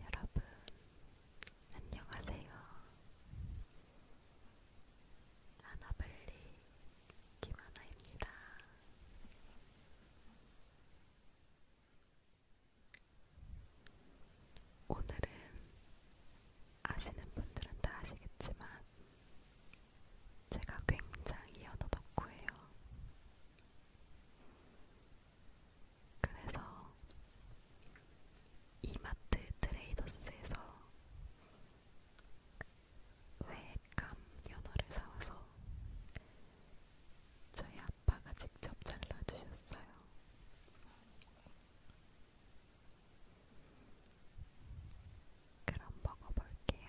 여러분, 안녕하세요. 하나블리 김하나입니다. 오늘은 아시는 분들은 다 아시겠지만 제가 굉장히 연어 덕후예요. 그래서 이마트 트레이더스에서 외감 연어를 사와서 저희 아빠가 직접 잘라주셨어요. 그럼 먹어볼게요.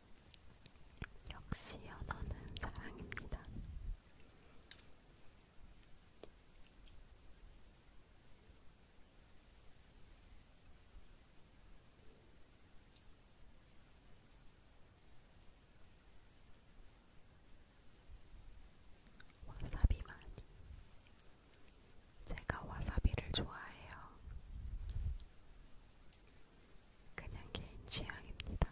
역시 연어는 사랑입니다. 와사비 많이. 제가 와사비를 좋아해요. 그냥 개인 취향입니다.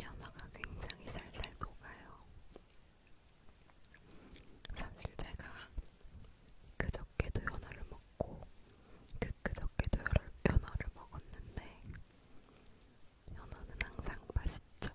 연어가 굉장히 살살 녹아요. 사실 제가 그저께도 연어를 먹고 그 그저께도 연어를 먹었는데 연어는 항상 맛있죠.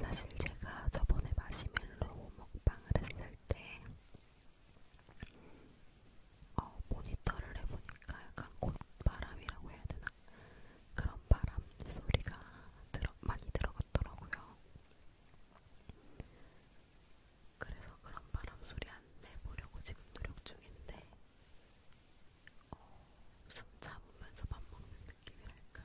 사실 제가 저번에 마시멜로 먹방을 했을 때 어, 모니터를 해보니까 약간 곧바람이라고 해야 되나? 그런 바람 소리가 들어, 많이 들어갔더라고요. 그래서 그런 바람 소리 안 내보려고 지금 노력 중인데 어, 숨 잡으면서 밥 먹는 느낌이랄까.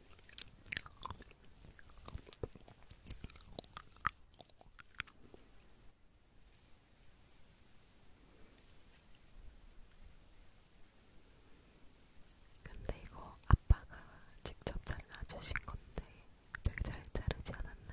근데 이거 아빠가 직접 잘라주신 건데 되게 잘 자르지 않았나요?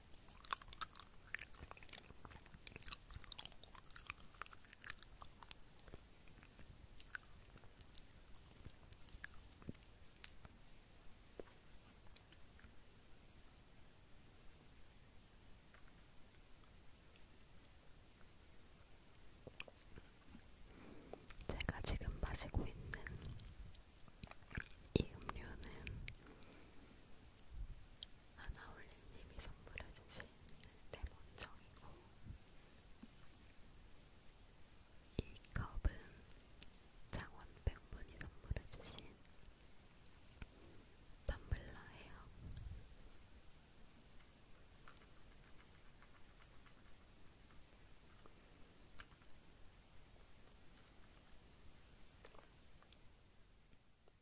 제가 지금 마시고 있는 이 음료는 하나올림님이 선물해주신 레몬청이고 이 컵은 장원백분이 선물해주신 텀블러예요.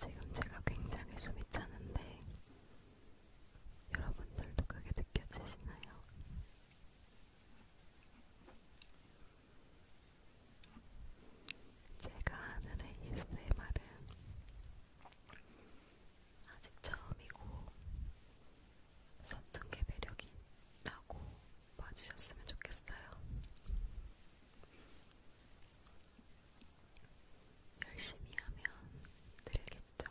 지금 제가 굉장히 숨이 차는데 여러분들도 그게 느껴지시나요? 제가 하는 ASMR은 아직 처음이고 선둥개 매력이라고 봐주셨으면 좋겠어요. 열심히 하면 늘겠죠.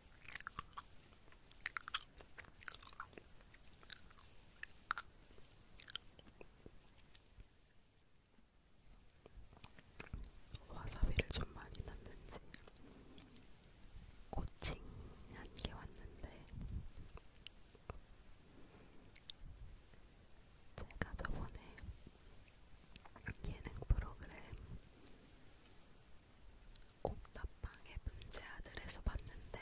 와사비를 좀 많이 넣는지 고칭 한개 왔는데 제가 저번에 예능 프로그램 옥탑방의 문제 아들에서 봤는데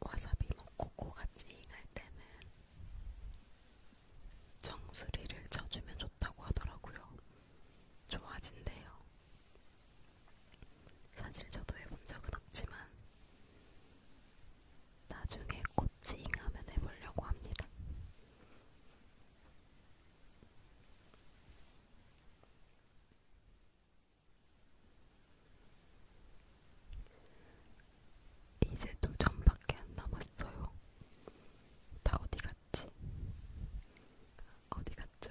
와사비 먹고 코가 찡할 때는 정수리를 쳐주면 좋다고 하더라고요. 좋아진대요. 사실 저도 해본 적은 없지만 나중에 꽃 찡하면 해보려고 합니다. 이제 두 점밖에 안 남았어요. 다 어디 갔지? 어디 갔죠?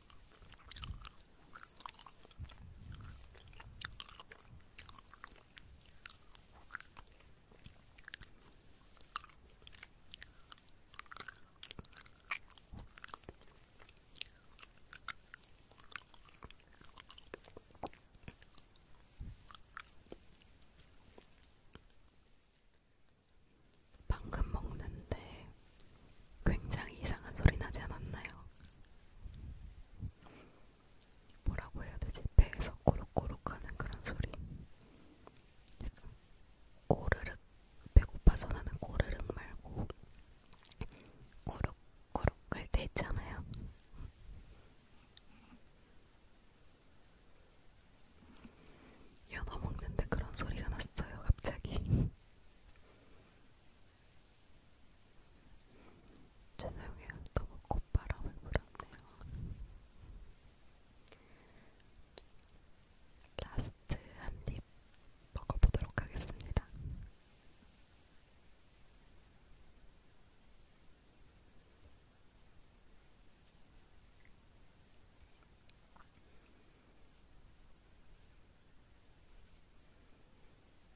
방금 먹는데 굉장히 이상한 소리 나지 않았나요? 뭐라고 해야 되지? 배에서 꾸룩꾸룩 하는 그런 소리. 꼬르륵, 배고파서 나는 꼬르륵 말고, 꼬룩꼬룩 할때 있잖아요. 연어 먹는데 그런 소리가 났어요, 갑자기. 죄송해요. 너무 콧바람을 불었네요. 라스트 한입 먹어보도록 하겠습니다. 음.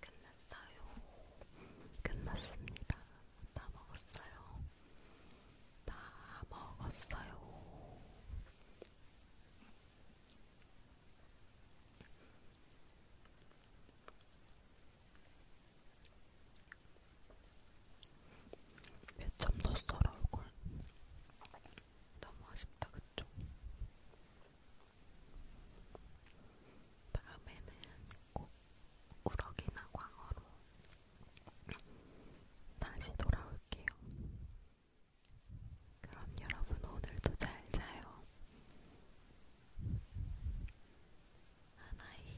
끝났어요. 끝났습니다. 다 먹었어요. 다 먹었어요. 몇점 썼어라 얼굴. 너무 아쉽다 그쪽. 다음에는 꼭 우럭이나 광어로 다시 돌아올게요. 그럼 여러분 오늘도 잘 자요. 하나이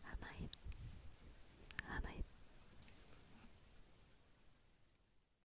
하나이 하나이